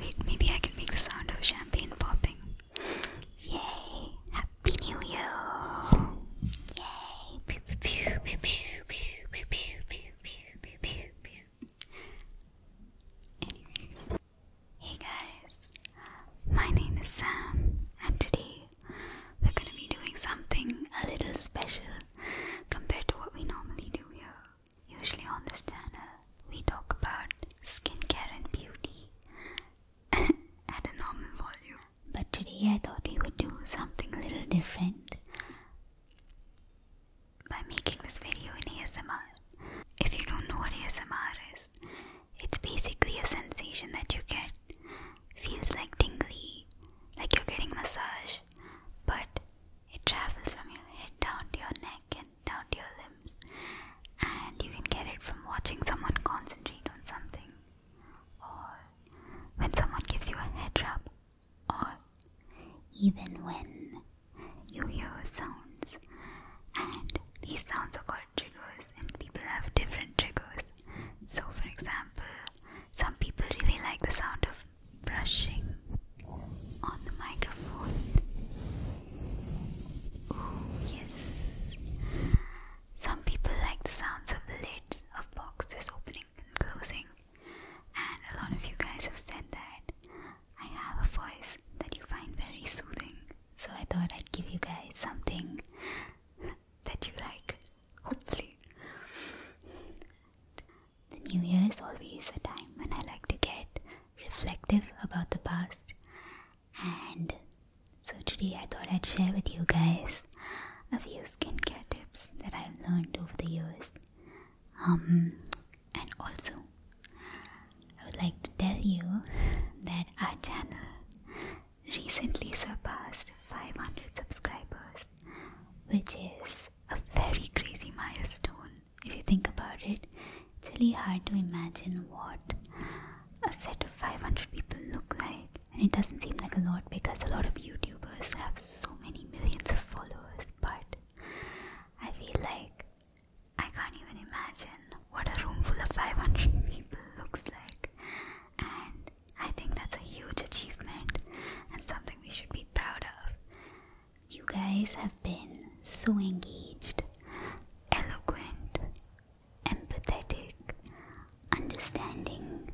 Wait, maybe I can make the sound of champagne popping. Yay! Happy New Year! Yay! Pew, pew, pew, pew, pew, pew, pew, pew, pew, pew, pew. Anyways. Hey guys! My name is Sam, and today we're gonna be doing something a little special compared to what we normally do here. Usually on this channel, we talk about skincare and beauty at a normal volume. But today I thought we would do something a little different by making this video in ASMR. If you don't know what ASMR is, it's basically a sensation that you get. Feels like tingly, like you're getting massage, but it travels from your head down to your neck and down to your limbs, and you can get it from watching someone concentrate on something, or when someone gives you a head rub, or even when you hear sounds. And these sounds are called triggers, and people have different triggers. So, for example, some people really like the sound of brushing on the microphone. Oh, yes. Some people like the sounds of the lids of boxes opening and closing, and a lot of you guys have said that I have a voice that you find very soothing. So I thought I'd give you guys something that you like, hopefully. The new year is always a time when I like to get reflective about the past. And so today I thought I'd share with you guys a few skincare tips that I've learned over the years. Um, and also, I would like to tell you that our channel recently surpassed 500 subscribers, which is a very crazy milestone if you think about it, it's really hard to imagine what a set of 500 people look like. And it doesn't seem like a lot because a lot of YouTubers have so many millions of followers, but I feel like I can't even imagine what a room full of 500 people looks like. And I think that's a huge achievement and something we should be proud of. You guys have been so engaged, eloquent, empathetic, understanding.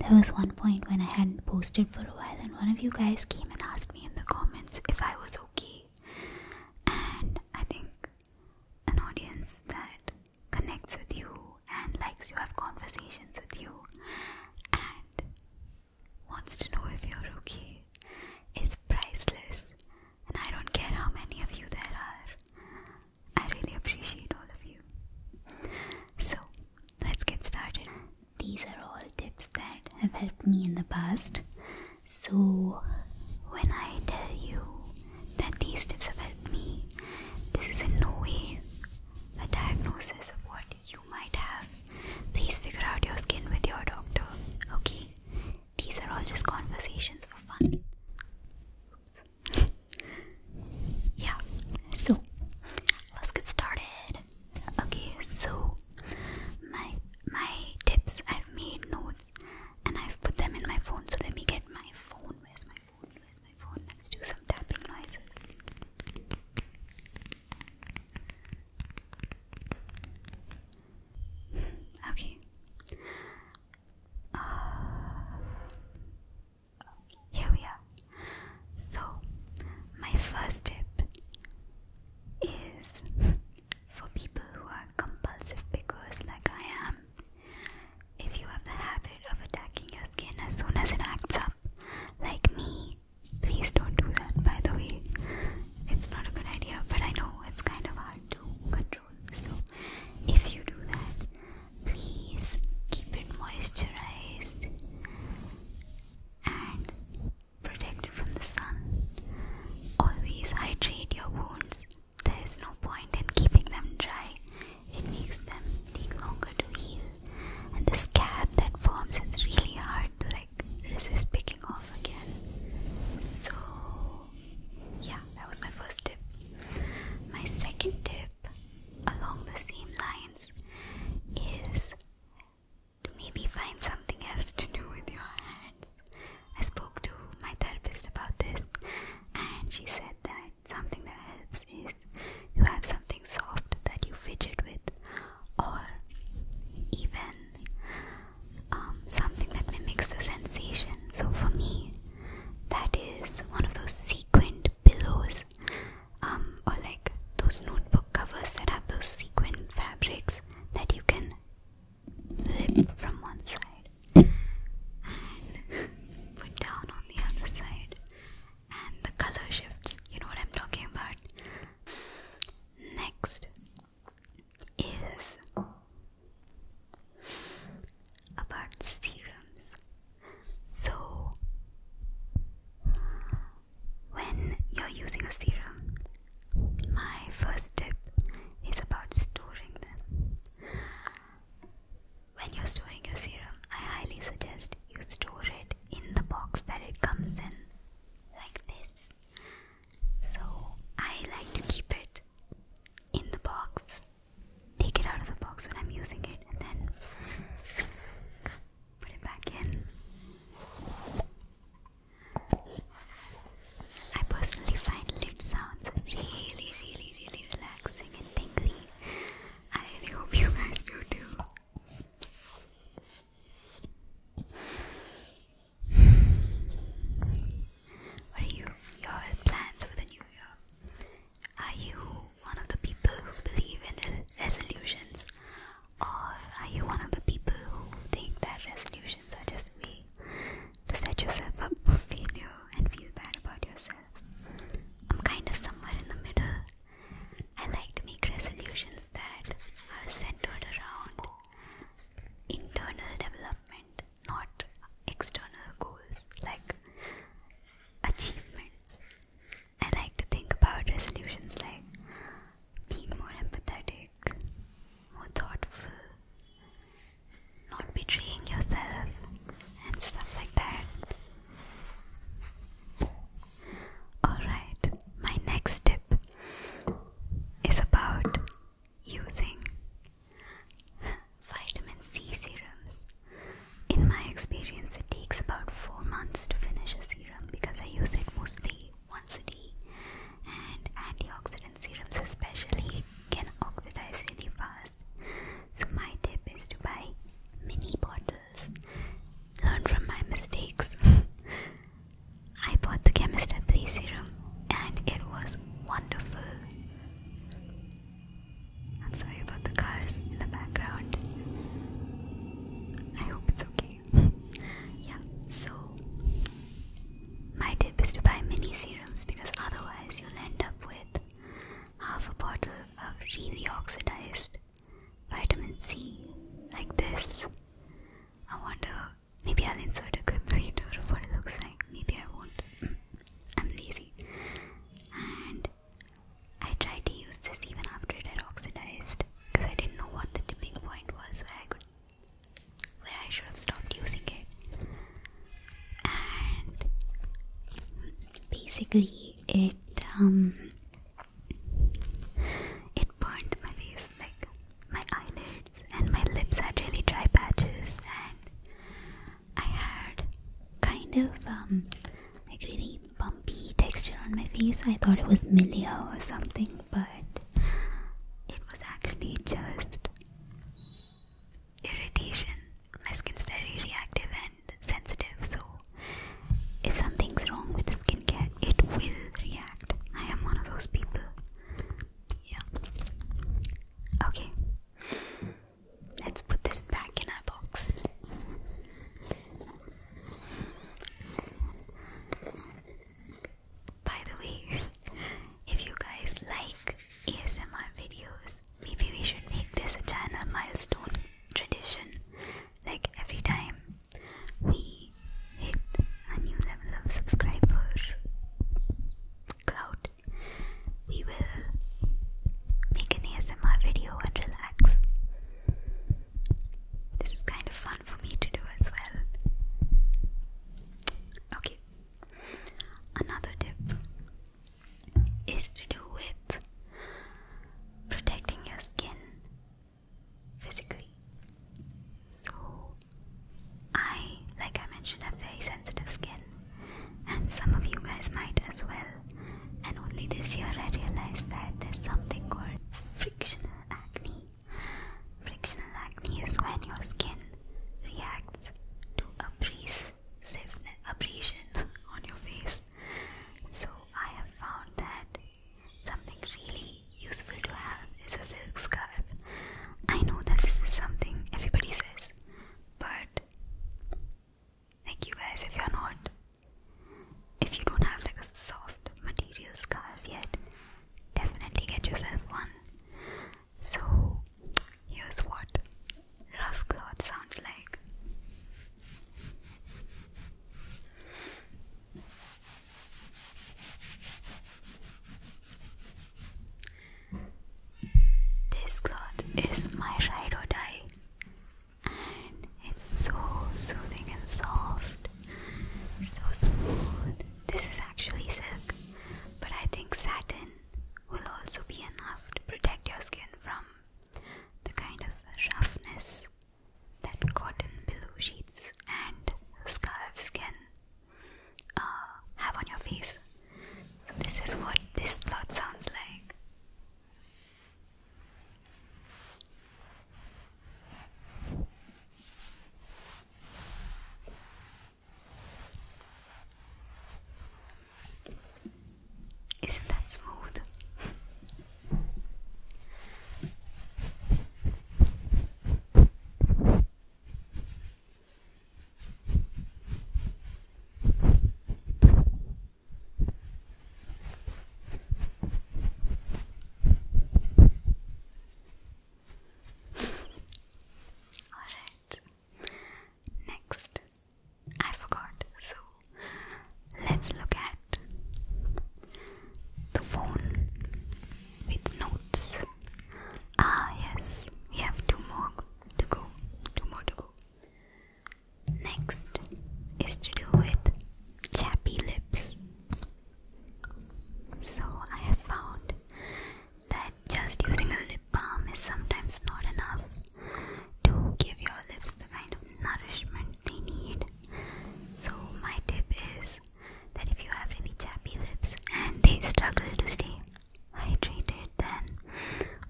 There was one point when I hadn't posted for a while, and one of you guys came and asked me in the comments if I was okay. And I think an audience that connects with you and likes you, have conversations with you, and wants to know if you're okay It's priceless, and I don't care how many of you there are. I really appreciate all of you. So, let's get started. These are all tips that have helped me in the past. So, when I tell you that these tips have helped me, this is in no way a diagnosis of what you might have. Please figure out your skin with your doctor, okay? These are all just conversations for fun. yeah, so let's get started. Okay, so my my tips I've made notes and I've put them in my phone. So let me get my phone. Where's my phone? Where's my phone? Let's do some tapping noises. Okay. Uh, here we are. So, my first tip is for people who are compulsive pickers like I am. If you have the habit of attacking your skin as soon as it acts up, like me, please don't do that by the way it's not a good idea, but I know it's kind of hard to control. So, if you do that, please keep it moisturized and protect it from the sun. Always hydrate your wounds. There is no point in keeping them dry. It makes them take longer to heal. And the scab that forms, is really hard to like like this is picking off again. So, yeah, that was my first tip. My second tip, along the same lines, is to maybe find something else to do with your hands. I spoke to my therapist about this, and she said that something that helps is you have something soft that you fidget with, or even um, something that mimics the sensation. So for me, that is one of those sequined pillows, um, or like those notebook covers that have those sequined fabrics that you can flip from one side and put down on the other side, and the color shifts. You know what I'm talking about. Next, is about serums. So, when you're using a serum, my first tip is about storing them. When you're storing your serum, I highly suggest you store it in the box that it comes in, like this. So I like to keep it in the box, take it out of the box when I'm using it, and then put it back in. I personally find lid sounds really, really, really relaxing and tingly. I really hope you guys do too. What are you, your plans for the new year? Are you one of the people who believe in resolutions? Or are you one of the people who think that resolutions are just a way to set yourself up for failure and feel bad about yourself? I'm kind of somewhere in the middle. I like to make resolutions that are centered around internal development, not external goals like achievements. I like to think about resolutions like being more empathetic, more thoughtful, not betraying yourself, and stuff like that. Alright, my next tip is about using vitamin C serums. In my experience, it takes about 4 months to finish a serum because I use it mostly once a day, and antioxidant serums, especially, can oxidize really fast. So, my tip is to buy mini bottles, learn from my mistakes. I bought the Chemist at Play serum and it was wonderful. I'm sorry about the cars in the background. I hope it's okay. yeah, so my tip is to buy mini serums because otherwise you'll end up with half a bottle of really oxidized vitamin C like this. I wonder Maybe I'll insert a clip later of what it looks like. Maybe I won't. Mm. I'm lazy. And I tried to use this even after it had oxidized because I didn't know what the tipping point was where I could where I should have stopped using it. And basically it um it burned my face like my eyelids and my lips had really dry patches and I had kind of um, like really bumpy texture on my face. I thought it was milia or something but it was actually just irritation. My skin's very reactive and sensitive so if something's wrong with the skincare it will react. I am one of those people. Yeah. Okay. Let's put this back in our box. By the way, if you guys like ASMR videos, maybe we should make this channel milestone tradition. Like every time we hit a new level of subscriber cloud, we will make an ASMR video and relax. This is kind of fun for me to do as well. Okay, another tip is to do with protecting your skin physically. So, I, like I mentioned, have very sensitive skin, and some of you guys might as well. And only this year I realized that there's something called frictional acne. Frictional acne is when your skin reacts to abrasiveness, abrasion on your face. So, I have found that something really useful to have is a silk scarf. I know that this is something everybody says, but thank you guys, if you're not, if you don't have like a soft material scarf yet, definitely get yourself one. So, here's what rough cloth sounds like. This cloth is my ride or die, and it's so soothing and soft, so smooth. This is actually silk, but I think satin will also be enough to protect your skin from the kind of roughness that cotton pillow sheets and scarves can uh, have on your face. this is what this cloth sounds like. Isn't that smooth? Alright, next, I forgot, so let's look at the phone with notes. Ah, yes, we have two more to go. Two more to go. Next is to do with chappy lips. So, I have found that just using a lip balm is sometimes not enough to give your lips the kind of nourishment they need. So, my tip is that if you have really chappy lips and they struggle to stay hydrated, then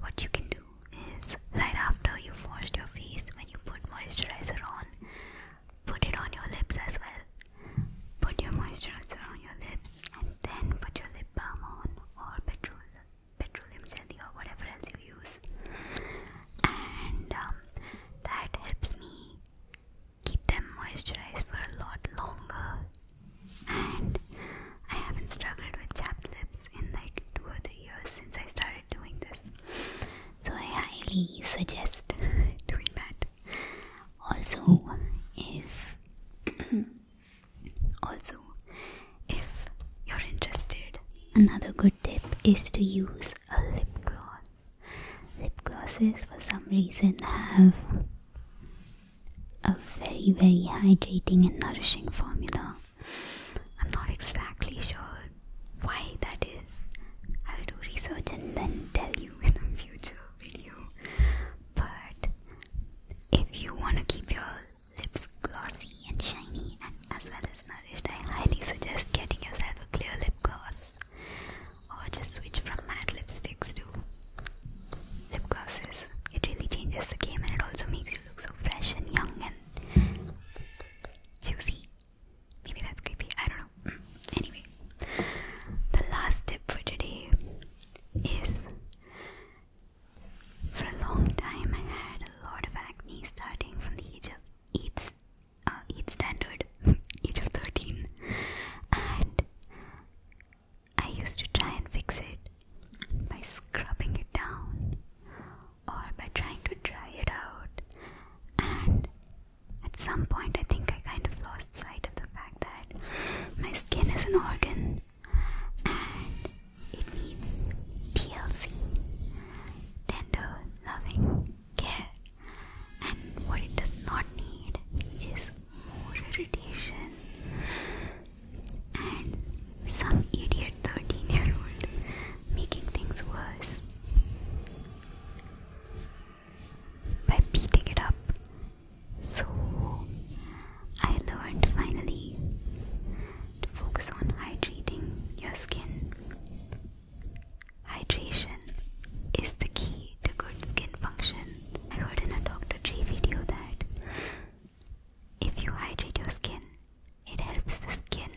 what you can do is right after you've washed your face, when you put moisturizer on, put it on your lips as well. Put your moisturizer on your lips and then put your lip balm on or petrol, petroleum jelly or whatever else you use. And um, that helps me keep them moisturized for a lot longer. And I haven't struggled with chapped lips in like two or three years since I started doing this. So I highly suggest doing that. Also, if also if you're interested, another good tip is to use a lip gloss lip glosses for some reason have a very very hydrating and nourishing formula i'm not exactly sure why that is i'll do research and then tell you in a future video but if you want to keep your lips glossy and shiny and as well as nourished i highly suggest getting yourself a clear lip gloss or oh, just switch from matte lipsticks to lip glosses. It really changes the game and it also makes you look so fresh and young and juicy. Maybe that's creepy, I don't know. Mm. Anyway, the last tip for today is for a long time I had a lot of acne starting from the age of eight, uh, standard, age of 13, and I used to try and fix it by scrubbing it down or by trying to dry it out. And at some point, I think I kind of lost sight of the fact that my skin is an organ and it needs TLC tender, loving care. And what it does not need is more irritation. And some idiot 13 year old making things worse by beating it up. So I learned finally to focus on hydrating your skin. Hydration is the key to good skin function. I heard in a Dr. J video that if you hydrate your skin, it helps the skin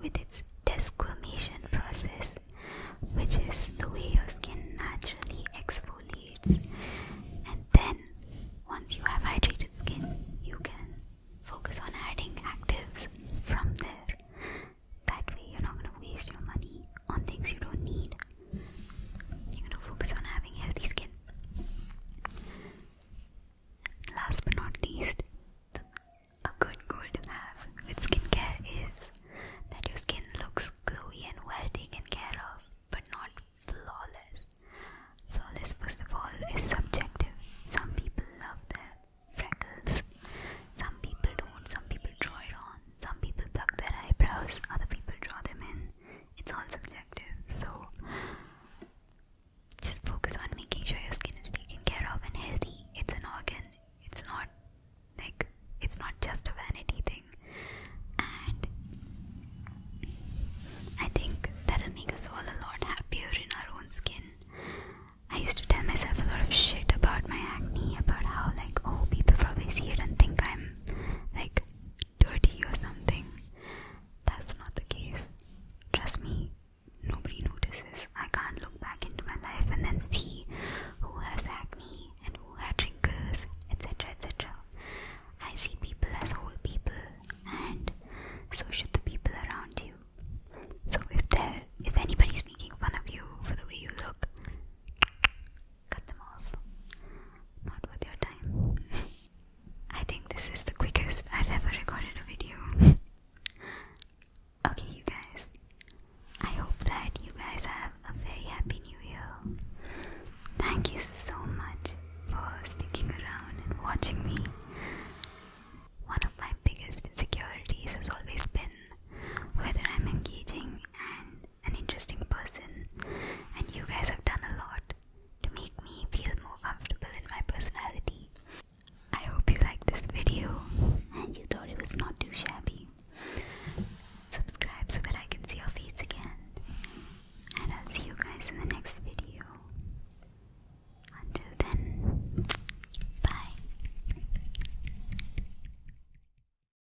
with its desquamation process, which is the way your skin naturally exfoliates. And then, once you have hydrated skin, you can focus on adding actives from there. That way, you're not going to waste your money on things you don't need. You're gonna focus on having healthy skin. Last but not least, a good goal to have with skincare is that your skin looks glowy and well taken care of, but not flawless. Flawless, first of all, is subjective. Some people love their freckles, some people don't, some people draw it on, some people pluck their eyebrows, other people draw them in. It's all subjective. So just focus on making sure your skin is taken care of and healthy. It's an organ. It's not like it's not just a vanity thing. And I think that'll make us all a lot happier in our own skin. I used to tell myself a lot of shit about my acne, about how, like, oh, people probably see it and think I'm like dirty or something. That's not the case. Trust me, nobody notices. I can't look back into my life and then see who has acne and who had wrinkles, etc. etc. I see people as whole people, and so should the people around you. So if there, if anybody's making fun of you for the way you look, cut them off. Not worth your time. I think this is the quickest I've ever recorded a video. okay, you guys. I hope that you guys have a very happy new year. Thank you so much for sticking around and watching me. One of my biggest insecurities has always been whether I'm engaging and an interesting person, and you guys have done a lot to make me feel more comfortable in my personality. I hope you liked this video and you thought it was not too shabby. Subscribe so that I can see your face again, and I'll see you guys in the next video. Until then, bye.